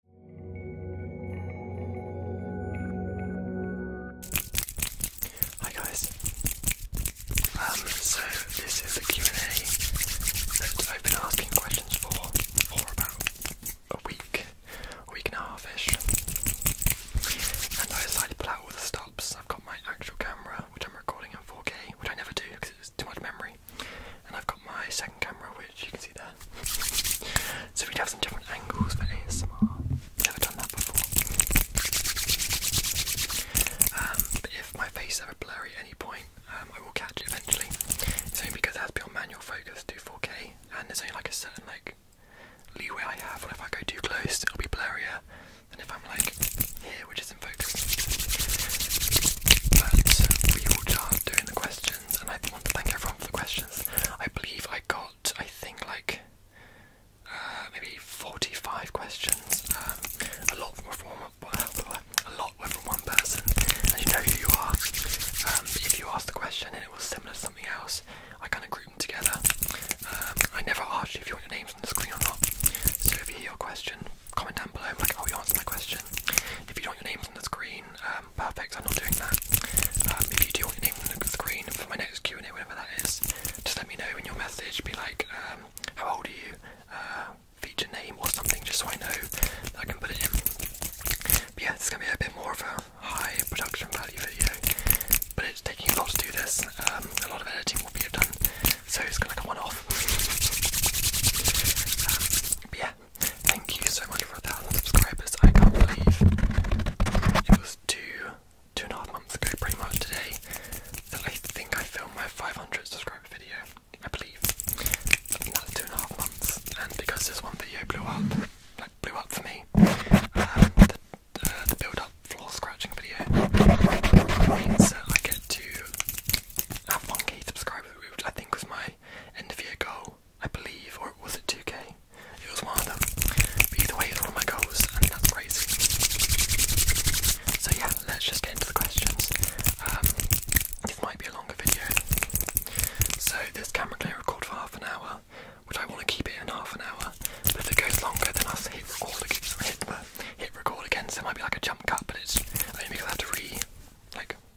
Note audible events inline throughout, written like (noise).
Hi guys. Um, so this is the Q and A that I've been asking questions for for about a week, week and a halfish, and I decided to pull out all the stops. I've got my actual camera, which I'm recording in 4K, which I never do because it's too much memory, and I've got my second camera, which you can see there. So we'd have some different angles for ASMR. Never done that before. Um, if my face ever blurry at any point, um, I will catch it eventually. It's only because it has to on manual focus to 4K, and there's only like a certain like leeway I have. Or if I go too close, it'll be blurrier than if I'm like here, which is in focus. But we all start doing the questions, and I want to thank everyone the questions. I believe I got, I think, like uh, maybe 45 questions. Um, a lot more from one, a lot were from one person, and you know who you are. Um, if you ask the question and it was similar to something else, I kind of group them together. Um, I never asked you if you want your names on the screen or not. So if you hear your question, comment down below. I'm like, oh, you answered my question. If you don't want your names on the screen, uh, perfect. I'm not doing that. Um, you do your name on the screen for my next Q and A, whenever that is, just let me know in your message. Be like, um, how old are you? Uh, feature name or something, just so I know I can put it in. But yeah, it's gonna be a bit more of a high production value video, but it's taking a lot to do this. Um, a lot of editing will be done, so it's gonna come on off. yeah, thank you so much for a thousand subscribers. I can't believe it was two, two and a half months ago, pretty much today, I think I filmed my 500 subscriber video. I believe. And two and a half months, and because this one video blew up, like blew up for me, um, the, uh, build up floor scratching video means that I get to have 1k subscribers, which I think was my end of year goal. I believe, or was it 2K? It was one of them. But either way, it was one of my goals, and that's crazy. So yeah, let's just get into the questions. Um, this might be a longer video. So this camera can record for half an hour, which I want to keep it in half an hour. But if it goes longer, than I'll hit record again. Hit, uh, hit record again. So it might be like a jump cut, but it's only because I have to re like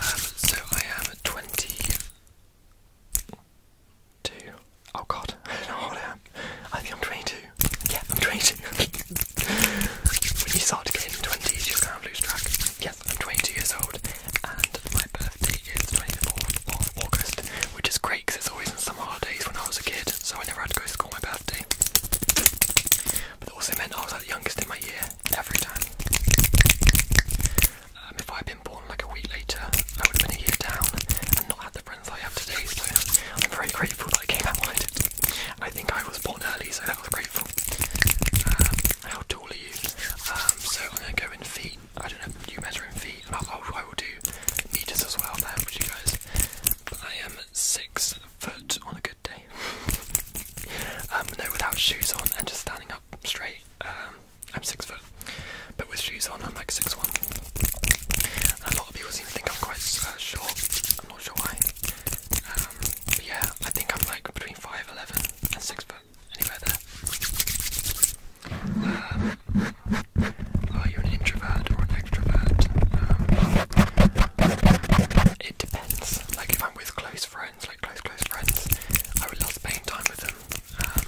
Um, so I am 22. Oh god, how (laughs) old am. I think I'm 22. Yeah, I'm 22. (laughs) when you start getting 20s, you you're going to lose track. Yes, I'm twenty years old, and my birthday is 24th of August, which is great because it's always in summer holidays when I was a kid, so I never had to go to school on my birthday. But it also meant I was like, the youngest in my year, every time. Um, if I'd been born like a week later, I would have been a year down and not had the friends I have today, so I'm very grateful that I came out when I think I was born early, so that was grateful. Um, how tall are you? Um, so I'm going to go in feet. I don't know, you measure in feet, I'll, do meters as well there for you guys. But I am six foot on a good day. um, no, without shoes on and just standing up straight, um, I'm six foot. But with shoes on, I'm like six one. And a lot of people seem to think I'm quite uh, short. I'm not sure why. Um, yeah, I think I'm like between five eleven and six foot. Anywhere there. Um, are you an introvert or an extrovert? it depends. Like if with close friends, like close, close friends. I would love spending time with them. Um,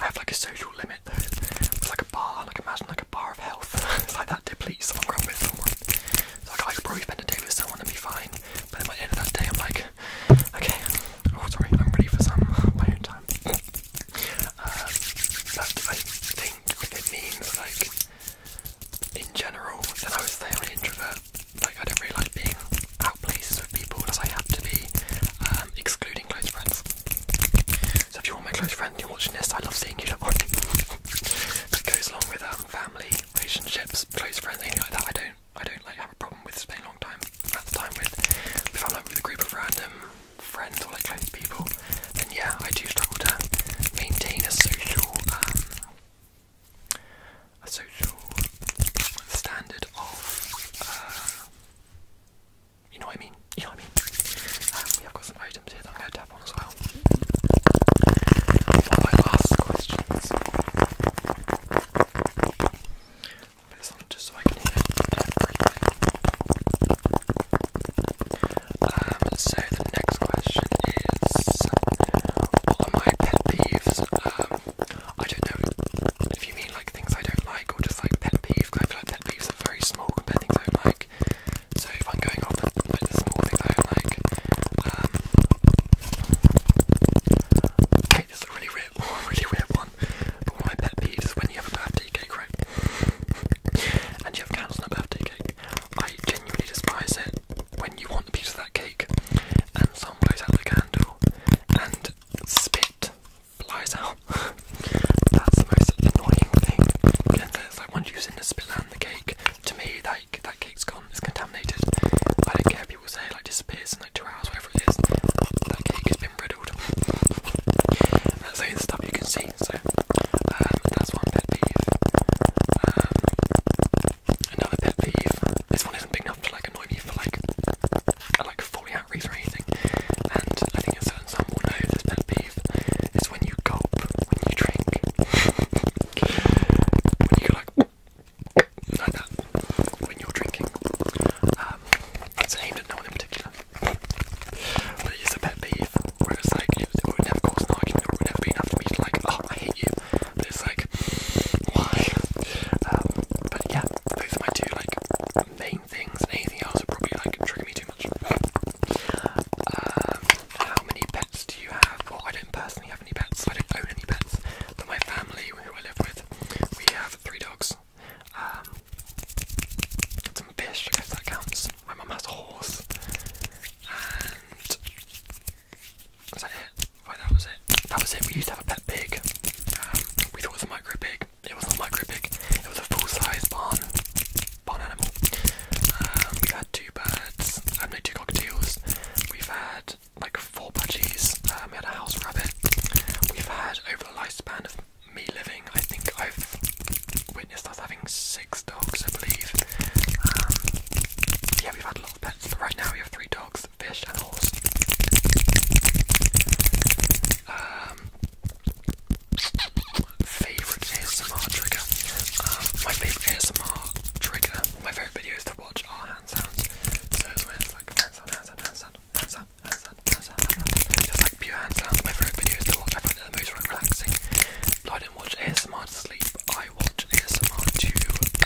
I have like a social limit though. It's like a bar, like imagine like a bar of health. (laughs) it's like that depletes someone growing with someone. So like, I could probably spend a day with someone and be fine. But at the end of that day I'm like, okay, oh sorry, I'm ready for some (laughs) my own time. (laughs) um, but I think it means like in general, then I was say I'm an introvert. Like I don't really like being out places with people as I have to be, um, excluding close friends. So if you're my close friend, and you're watching this. I love seeing you. (laughs) that goes along with um, family, relationships, close friends, anything like that. I don't, I don't like have a problem with spending a long time at time with. If I'm like with a group of random friends or like close people, then yeah, I do struggle to maintain a social. Um, a social standard of, uh, you know what I mean? You know what I mean? Um, have got some items here that I'm going to tap as well. my last questions. put this on just so I can um, so the next question is, my pet peeves? Um, I don't know if you mean like things I don't like or just like pet peeves. I feel like pet peeves are very small compared to things I don't like. So if I'm going off with like, the small things I don't like, okay, um, this a really weird, (laughs) really weird one. But my pet peeves when you have a birthday cake, (laughs) and you have candles on a birthday cake. I genuinely despise it when you want a piece of that cake, and someone blows out the candle, and spit flies out. (laughs) That's the most annoying thing. And it's like once you the spit out the cake, to me like that cake's gone. It's contaminated. I don't care if people say like disappears in like two hours, whatever it is. That cake has been riddled. that's the only stuff you can see. So um, that's one pet peeve. Um, Another pet peeve. This one isn't big enough to like annoy me for like like falling out or anything. And I think a certain some will know pet peeve is when you gulp when you drink. when you go like like that when you're drinking. Um, it's aimed at no one in particular. But it is a pet peeve where like it, it would never cause an argument, it would never be enough for me like, oh I hate you it's like, why? Um, but yeah, those are my two like main things. anything else would probably like trigger me too much. Um, how many pets do you have? Well, I don't personally have any pets. I don't own any pets. But my family, who I live with, we have three dogs. Um, some fish, I that counts. My mum has a horse. And was that it? that was it. That was it. We used to have a pet pig. Um, we thought it was a micro pig. It wasn't a micro pig. It was a full-size barn, barn animal. Um, we had two birds. I've um, two cockatiels. We've had like four budgies. we had a house rabbit. We've had over the lifespan of me living, I think I've witnessed us having six dogs, I believe. yeah, we've had lot of pets. But right now we have three dogs, fish, and a horse. Um, favorite ASMR trigger. Um, my favorite ASMR trigger. My favorite videos to watch are hand sounds. So it's when it's like hand sound, hand sound, hand sound, hand sound, hand sound, hand sound, hand sound. Just like pure hand sounds. My favorite videos to watch. I find it the most relaxing. Like don't watch ASMR to sleep. I watch ASMR to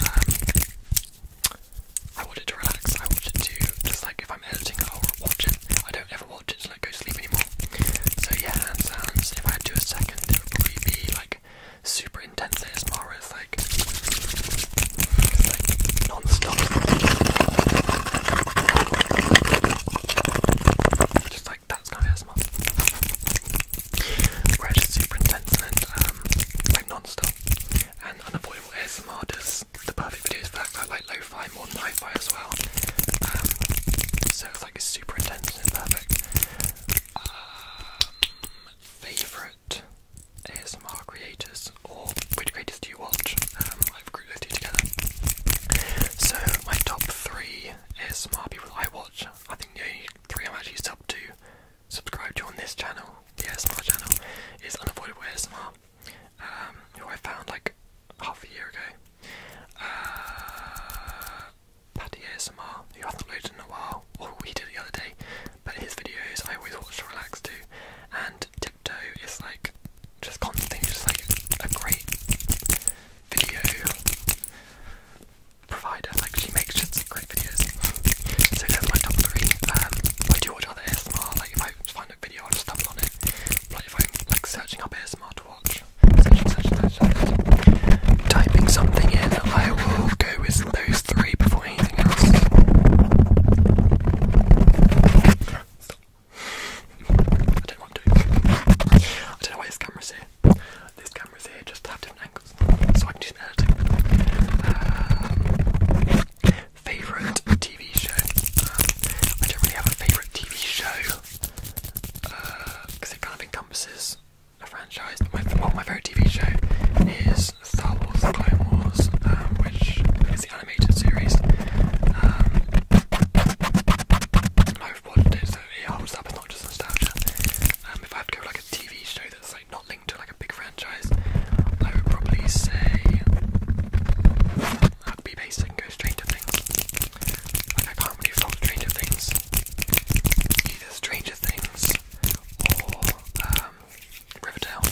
um, I watch it to relax. I watch it to just like if I'm editing, I'll watch it. I don't ever watch it to like go to sleep anymore. So yeah, hand sounds. If I do a second, it would probably be like super intense ASMR. Where it's like, it's like non-stop. Just like that's kind of ASMR where it's um, like non And Unavoidable ASMR does the perfect videos for that, that like lo more than hi-fi as well. Um, so like super intense perfect. Um, favorite ASMR creators or which creators do you watch? I've grouped those together. So my top three ASMR people I watch, I think the only three I'm actually sub to subscribe to on this channel, the ASMR channel, is Unavoidable um, who I found like half a year ago. Uh, Patty ASMR, who hasn't uploaded in a while, or he did the other day, but his videos I always watch to relax too. and Tiptoe is like just constantly just like a great video provider like she makes shit just great videos. so go for my top three. Um, I do watch other ASMR. Like if I find a video, i stumble on it. if I'm like searching up ASMR to watch, typing something in, I will go with those three before anything else. I don't know what I don't know why this camera's here. This camera's here just to have different angles so I can do some editing. Um, favourite TV show? Um, I don't really have a favourite TV show because uh, it kind of encompasses a franchise. well, my favourite TV show is Star Wars The Clone Wars, um, which is the animated series. I've watched it, so it holds up, it's not just nostalgia. if I had to go like a TV show that's like not linked to like a big franchise, I would probably say I'd be basing go Stranger Things. Like I can't really fault Stranger Things. Either Stranger Things or um, Riverdale.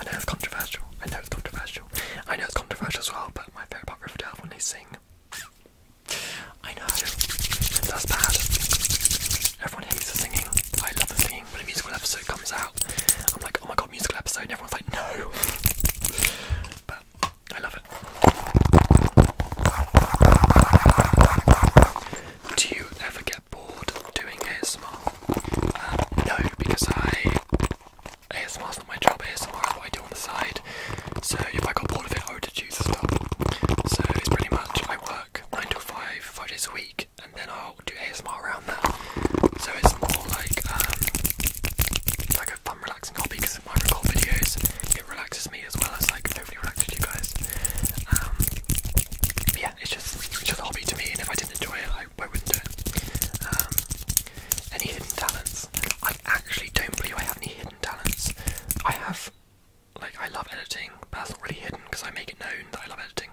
I know it's controversial. I know it's controversial. I know it's controversial as well, but my favourite part of Riverdale when they sing I know, that's bad. Everyone hates the singing. I love the singing. When a musical episode comes out, I'm like, oh my god, musical episode, everyone's like, no. But I love it. Do you ever get bored doing ASMR? Uh, no, because I ASMR's not my job, ASMR is what I do on the side. So if I got bored of it, I would to do the stuff. So it's pretty much I work nine to five, five days a week, and then I'll do ASMR around that. So it's more like um, like a fun, relaxing hobby because my record videos it relaxes me as well as like hopefully relaxes you guys. Um, yeah, it's just it's just a hobby to me, and if I didn't enjoy it, I, wouldn't do it. Um, any hidden talents? I actually don't believe I have any hidden talents. I have like I love editing, but that's already hidden because I make it known that I love editing.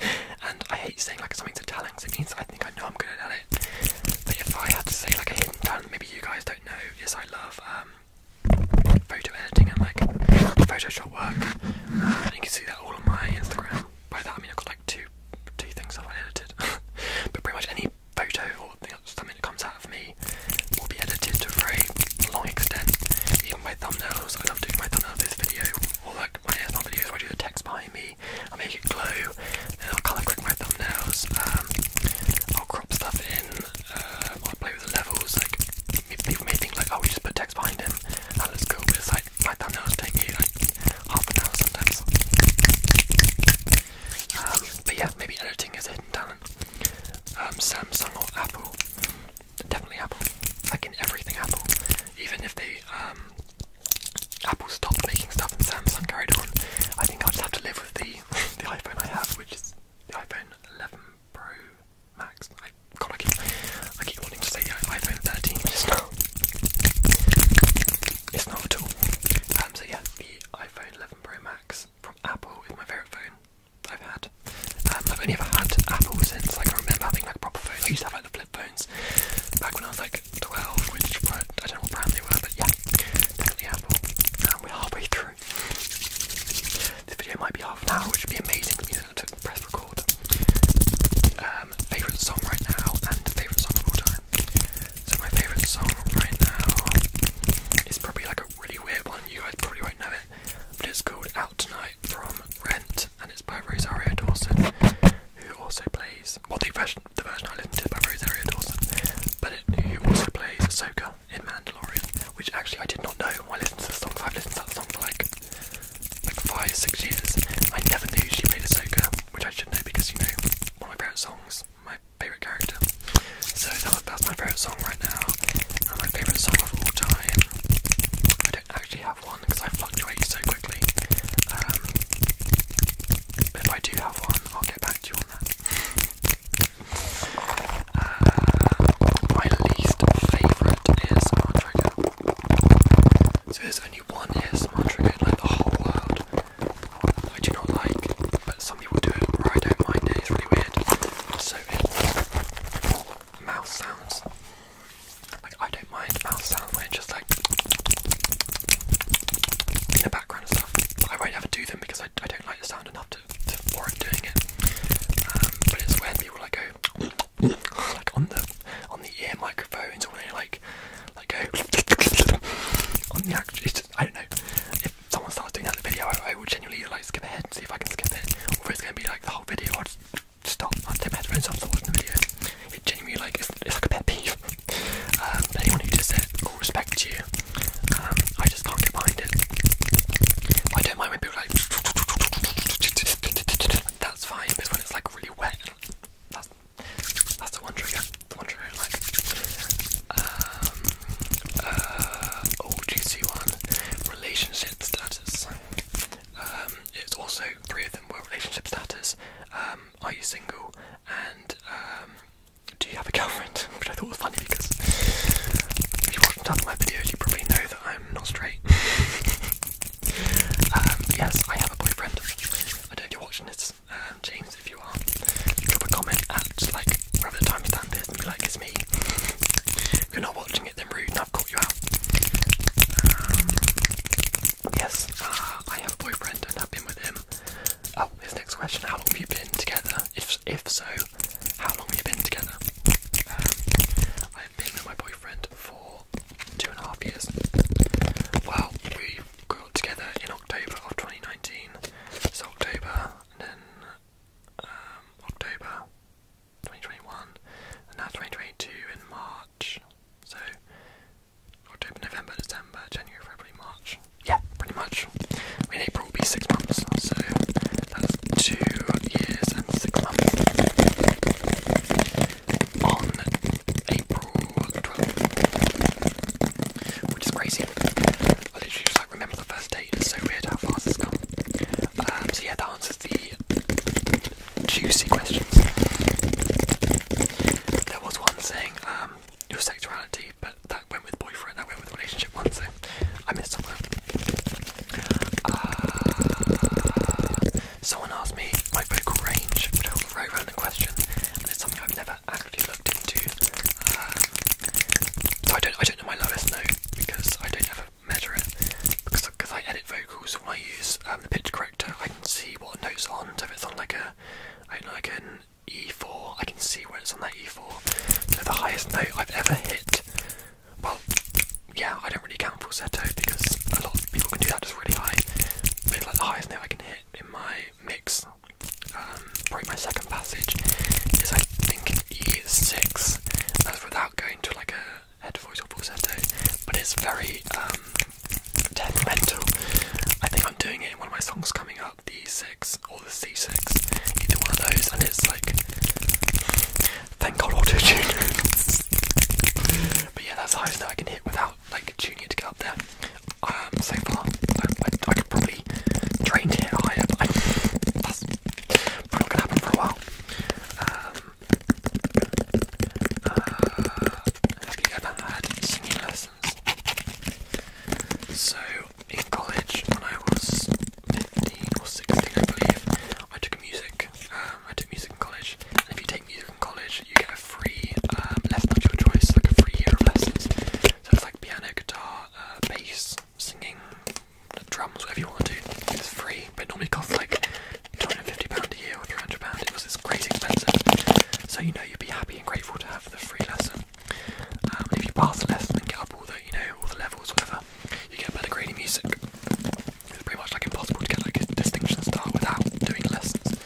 (laughs) and I hate saying like something's a talent because it means I think I know I'm good at it. But if I had to say like a hidden talent, maybe you guys don't know, is I love um, photo editing and like Photoshop work. and you can see that all on my Instagram. By that I mean I've got like two two things that I edited. (laughs) but pretty much any photo or thing, that comes out of me 3 will be edited to a long extent. Even my thumbnails, I love doing my thumbnail this video, or like my ASMR videos I do the text behind me, I make it glow, then I'll colour correct my thumbnails, um, I'll crop stuff in, um, i play with the levels, like, people may think like, oh we just put text behind him, that looks cool, but it's like, my thumbnails take me like, half an hour sometimes. Um, but yeah, maybe editing is hidden talent. Um, Samsung or Apple. Definitely Apple. Like in everything Apple. Even if they um, Apple stopped making stuff and Samsung carried on, I think I'll have to live with the (laughs) the iPhone I have, which is the iPhone 11 Pro Max. I God, I keep I keep wanting to say the iPhone 13, but it's not. It's not at all. Um, so yeah, the iPhone 11 Pro Max from Apple is my favorite phone. I've had. Um, I've only ever had Apple since like I remember having like proper phones. I used to have like the flip phones back when I was like 12, which I don't know what brand they were, but yeah, definitely Apple. Um, we're halfway through. This video might be half now, which would be amazing for me to press record. Um, favourite song right now and favourite song of all time. So my favourite song right now is probably like a really weird one. You guys probably won't know it. But it's called Out Tonight from Rent, and it's by Rosario Dawson, who also plays. Well, the version, the version I listened to by Rosario Dawson, but it, who also plays Ahsoka in Mandalorian, which actually I did not know when I listened to the song. I've listened to that song like, like five, six years. I never knew she played Ahsoka, which I should know because you know one of my favorite songs, my favorite character. So that, that's my favourite song right now, and my favourite song of all time. I don't actually have one because I fluctuate so quickly. Um, if I do have one, I'll get back to you on that. Uh, my least favourite ASMR trigger. So there's only one ASMR trigger in the whole world. I do not like, but some people do it, I don't mind it. It's really weird. So also sounds. Like I don't mind mouth sound when just like in the background and stuff. I won't ever do them because I, I don't like the sound enough to, to warrant doing it. Um, but it's when people like go like on the on the ear microphones or like like go on the actual. I don't know someone starts doing that in the video, I, will genuinely like skip ahead and see if I can skip it. Or if it's gonna be like the whole video, I'll just stop. I'll take my headphones off, stop watching the video. It genuinely like it's, like a pet peeve. um, anyone who does it will respect you. Um, I just can't get behind it. I don't mind when people like that's fine, but when it's like really wet, that's that's the one trigger. The one trigger like. Um, uh, oh, one. Relationship status. Um, it's also three of them were relationship status. Um, are you single? And um, do you have a girlfriend? (laughs) Which I thought was funny because if you watch half of my videos, you probably know that I'm not straight. (laughs) Um, yes, I have a boyfriend. I don't know if you're watching this, James. If you are, drop a comment at like whatever the timestamp is, and be like, "It's me." you're not watching it, then rude, I've caught you out. Um, yes, uh, I have a boyfriend and I've been with him. Oh, his next question: How long have you been together? If if so, how long have you been together? Um, I've been with my boyfriend for two and a half years. Well, we got together in October of 2019. So October, then um, October, 2021, and now 2022 in March. So October, November, December, January, February, March. Yeah, pretty much. I April will be six months, so that's two years and six months. On April 12, which is crazy. I literally just remember the first date. It's so weird how fast it's gone. Um, so yeah, that answers the juicy questions. There was one saying um, your sexuality, but that went with boyfriend. That went with relationship one. So I missed on that. Uh, someone asked me my vocal range, which was a very random question, and it's something I've never actually looked into. Um, so I don't, I don't know my lowest note because I don't ever measure it because because I edit vocals when I use um, the pitch corrector. I can see what notes on. So if it's on like a I don't know like an E4, I can see where it's on that E4. So the highest note I've ever hit. Well, yeah, I don't really count falsetto because a lot of people can do that just really high. But it's like the highest note I can hit in my mix, um, probably my second passage is I think an E6. That's that going to like a head voice or falsetto, but it's very detrimental. Um, I think I'm doing it in one of my songs coming up, D six or the C six, either one of those, and it's like thank God auto tune. (laughs) but yeah, that's the highest note I can hit without like tuning it to go up there. Um, so far, I, could probably drain it higher, Probably gonna happen for a while. Um, uh, have you ever singing lessons? So, in college, when I was 15 or 16, I believe, I took music. Um, I took music in college, and if you take music in college, you get a free um, lesson of your choice, like a free year of lessons. So it's like piano, guitar, uh, bass, singing, drums, whatever you want to do. It's free, but normally costs like £250 a year or £300. It was this crazy expensive. So you know you'd be happy and grateful to have the free lesson. And um, if you pass the lesson and get up all the, you know, all the levels, whatever, you get better grade in music. It's pretty much like impossible to get like a distinction star without doing lessons.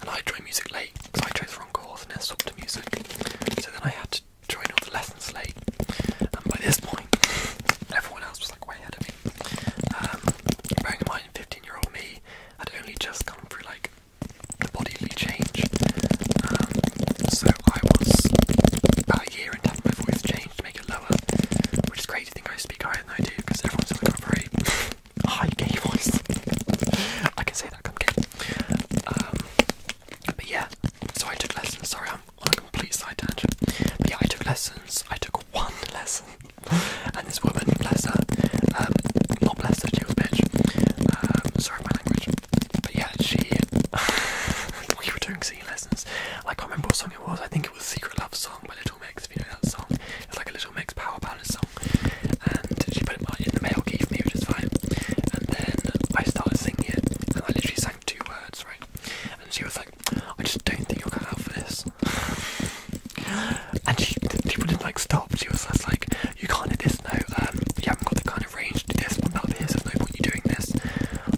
And I joined music late because I chose the wrong course and then swapped to music. So then I had to joined the lessons late, and by this point, (laughs) everyone else was like way ahead of me. Um, bearing in mind, 15-year-old me had only just come through like the bodily change, um, so I was about a year in having my voice changed to it lower, which is great. to think I speak higher than I do because everyone's like got a (laughs) high gay voice. (laughs) I can say that, come um, but yeah, so I took lessons. Sorry, on complete side tangent. But yeah, I took lessons. I took one (laughs) lesson, and this woman, bless her, um, not bless her, she a bitch. Um, sorry, my language. But yeah, she. (laughs) we were doing singing lessons. I can't remember what song it was. I think it was "Secret Love" song by Little Mix. If you know that song, it's like a Little Mix power ballad song. And she put it in the mail, key for me, which is fine. And then I started singing it, and I literally sang two words, right? and she was like, I just don't think you're cut out for this. and she, people didn't like stop. She was just like, you can't do this. No, um, you haven't got the kind of range to do this. What about this? There's no point you doing this.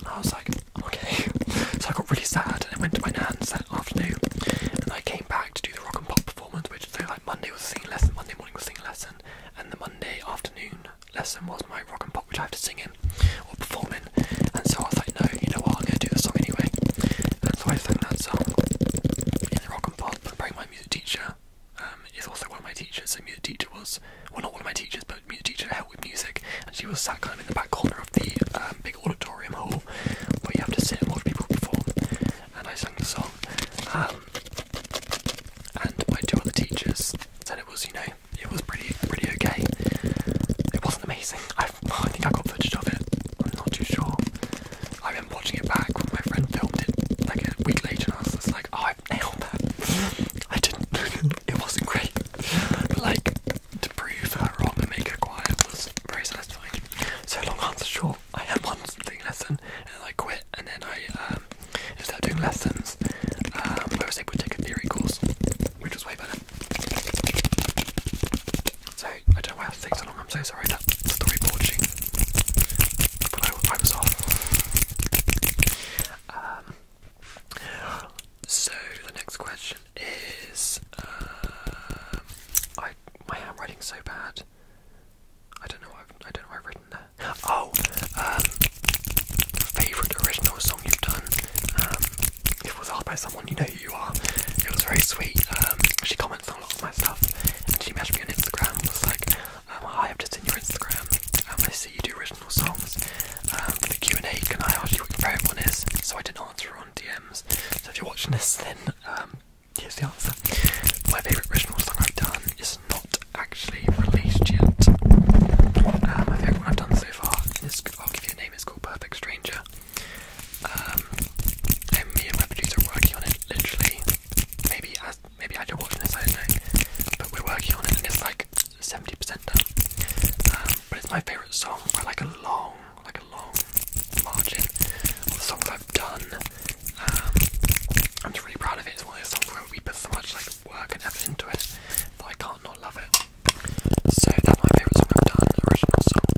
I was like, okay. So I got really sad and I went to my nan's that afternoon, and I came back to do the rock and pop performance, which so like Monday was singing lesson, Monday morning was singing lesson, and the Monday afternoon lesson was my rock and pop, which I have to sing in or perform in. And so I thought, no, you know what, I'm going to do the song anyway. And so I sang that song in the rock and pop. But probably my music teacher um, is also one of my teachers. So music teacher was, well, not one of my teachers, but music teacher helped with music. And she was sat kind of in the back corner of the um, big auditorium hall where you have to sit and watch people perform. And I sang the song. Um, and my two other teachers said it was, you know, it was pretty pretty okay. It wasn't amazing. I, think I got footage of it. I'm not too sure. I have been watching it back when my friend filmed it like a week later, and I was just like, "Oh, I nailed that." (laughs) I didn't. (laughs) it wasn't great, but like to prove her wrong and make her quiet was very satisfying. So long answer short, I had one thing lesson, and then I quit, and then I um, instead of doing lessons, um, I was able to take a theory course which was way better. So I don't know why I take so long. I'm so sorry that storyboarding, but I, I was off. Um, so the next question is, um, I my handwriting's so bad. I don't know. I have do not know. I've written there. Oh, um, favorite original song you've done. Um, it was asked by someone you know who you are. It was very sweet. Um, she comments on a lot of my stuff, and she messaged me on Instagram. and Was like, um, I've just seen your Instagram. Um, I see you do original songs. for the Q and A, can I ask you what your favorite one is?" So I didn't answer on DMs. So if you're watching this, then here's the answer. My favorite original song I've done is not actually released yet. I think what I've done so far. I'll give you a name. It's called Perfect Stranger. Um, me and my producer working on it. Literally, maybe as maybe as you're watching this, I don't know. But we're working on it, and it's like 70% done. Um, but it's my favorite song by like a long, like a long margin of songs I've done. Um, I'm just really proud of it. It's one of those songs where we put so much like work and effort into it that I can't not love it. So that's my favourite song I've done, original song.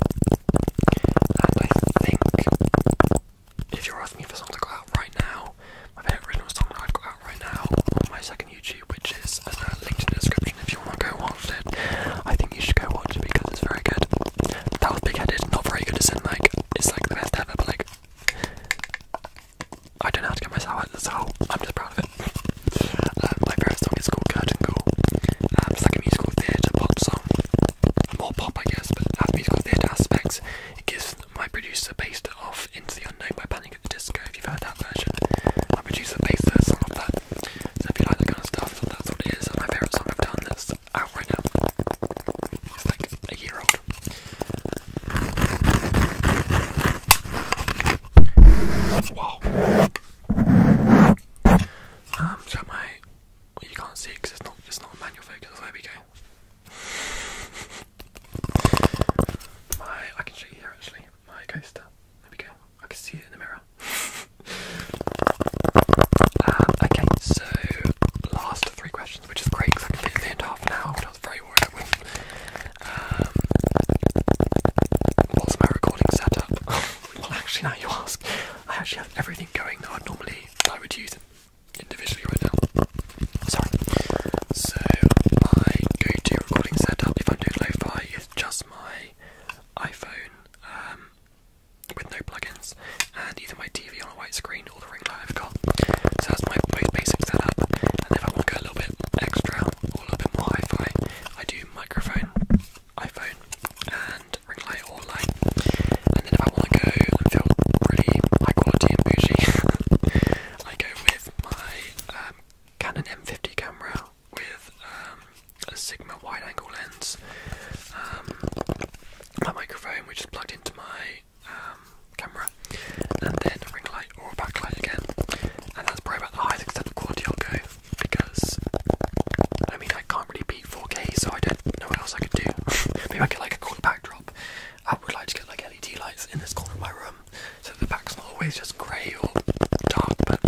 I think if you're asking for songs I got out right now, my favourite original song that I've got out right now on my second YouTube, which is as in the description if you want to go watch it. I think you should go watch it because it's very good. That was big headed, not very good as in like it's like the best ever, but like I don't know how to get my sour, so I'm just proud of it. Um, my favorite song is called Curtain Call. Um, it's like a musical theatre pop song. More pop, I guess, but that musical theatre aspects. It gives my producer based it off Into the Unknown by Panic at the Disco, if you've heard that version. My producer based that. So if you like that kind of stuff, that's what it is. my favourite song I've done that's out right now. It's like a year old. Wow. Um, so my, you can't see it's not, it's not manual There we go. My, I can show you here actually. My coaster. There we go. I can see it in the mirror. Um, okay, so last three questions, which is great I can fit them in I um, what's my recording setup? (laughs) well, actually, now you ask, I actually have everything going that I normally I would use individually right now. Sorry. So my go-to recording setup, if I'm doing lo-fi, is just my iPhone um, with no plugins, and either my TV on a white screen or the ring light I've got. So that's my most basic setup. And if I want to go a little bit extra, all a bit more hi-fi. I do microphone, iPhone, and ring light or light. And then if I want to go and feel really high quality and bougie, (laughs) I go with my um, Canon M50 camera with um, a Sigma wide-angle lens. Um, my microphone, which is plugged into my camera, and then ring light backlight or backlight again, and that's probably about the highest extent of quality I'll go because I mean I can't really beat 4K, so I don't know what else I could do. (laughs) Maybe I get like a cool backdrop. I would like to get like LED lights in this corner of my room, so the back's not always just grey or dark. But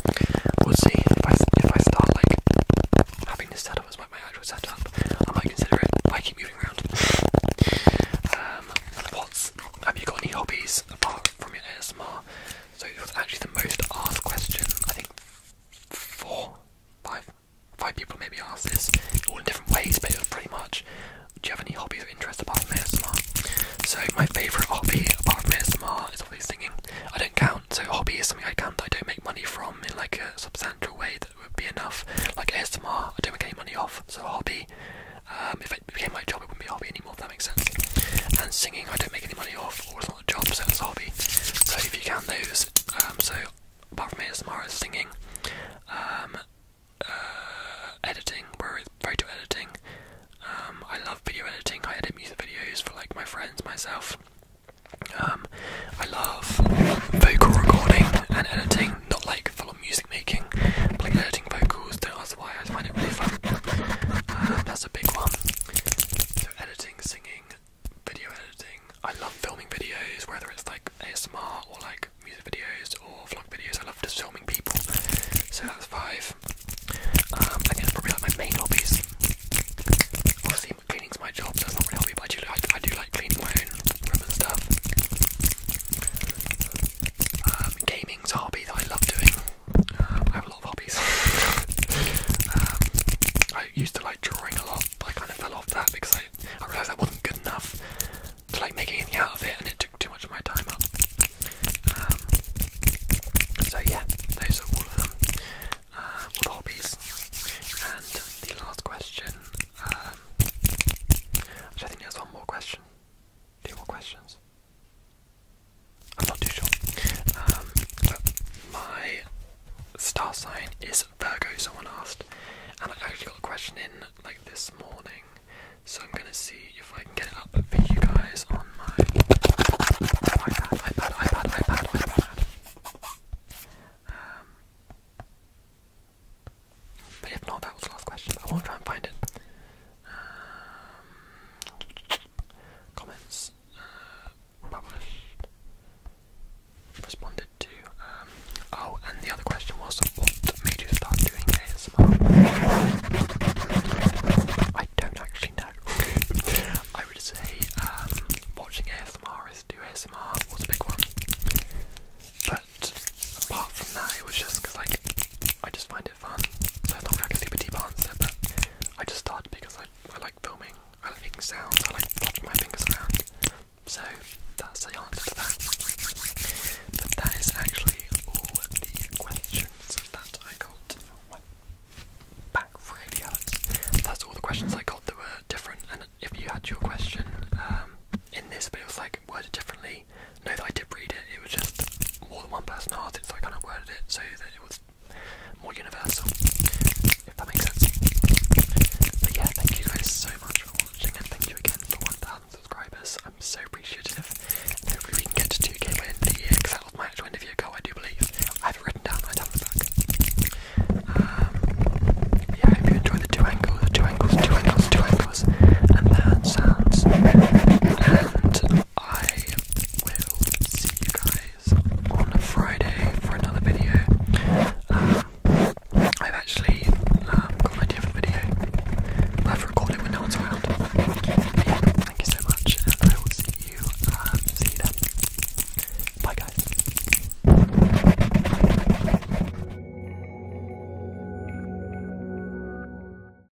we'll see if I if I start like having this setup as my, my actual setup, I might consider it. I keep moving around. (laughs) Um, the pots have you got any hobbies apart from your ASMR? So it was actually the most asked question. I think four, five, five people maybe ask this, all in different ways, but pretty much, do you have any hobby or interest apart from ASMR? So my favourite hobby apart from ASMR is obviously singing. I don't count, so hobby is something I count that I don't make money from in like a substantial way that would be enough. Like ASMR, I don't make any money off, so hobby um, if it became my job, it wouldn't be a hobby anymore, if that makes sense. And singing, I don't make any money off, or it's not a job, so it's a hobby. So if you can lose. Um, so apart from ASMR, it's singing, um, uh, editing, where photo editing. Um, I love video editing. I edit music videos for like my friends, myself. I love vocal recording and editing, not like full on music making, but like editing vocals. Don't that's why I find it really fun. Uh, that's a big one. So editing, singing, video editing. I love filming videos, whether it's like ASMR or like music videos or vlog videos. I love just filming people. So that's five. Um, I think it's probably like my main hobbies. Obviously, cleaning's my job, so it's not really a hobby, but I do, like, I do like cleaning my own room and stuff. Um, gaming's hobby that I love doing. I have a lot of hobbies. Um, I used to like drawing a lot, but I kind of fell off that because I, realised that wasn't good enough to like make anything out of it, and it took too much of my time um, so yeah, those are all of them. Uh, hobbies. And the last question. Um, I think there's one more question. Two more questions. I'm not too sure. Um, my star sign is Virgo, someone asked. And I actually got a question in like this morning. So I'm gonna see if I can get it up for you guys on my iPad, iPad, iPad, iPad, iPad. Um, but if not, that was last question. I won't try and find it. Um, comments uh, published, responded to. Um, oh, and the other question was what made you start doing ASMR? I don't actually know. (laughs) I would say um, watching ASMR is do ASMR was a big one. But apart from that, it was just because like I just find find it fun. So it's not exactly super deep answer, but I just started because I, I like filming, I like making sounds, I like watching my fingers around. So that's the answer to that. But that is actually all the questions that I got back from That's all the questions I got that were different and if you had your question um, in this but it was like worded differently no, I did read it. It was just more than one person asked it, I kind of worded it so that it was more universal. If that makes sense. But yeah, thank you guys so much for watching, and thank you again for 1,000 subscribers. I'm so appreciative. hopefully we can get to two um, angles, two angles, two angles, two angles, and that sounds. And I will see you guys on Friday for another video. Um, I've actually um, got an idea of a video. I've recorded when no one's around. thank you so much, I will see you. Um, see you Bye, guys.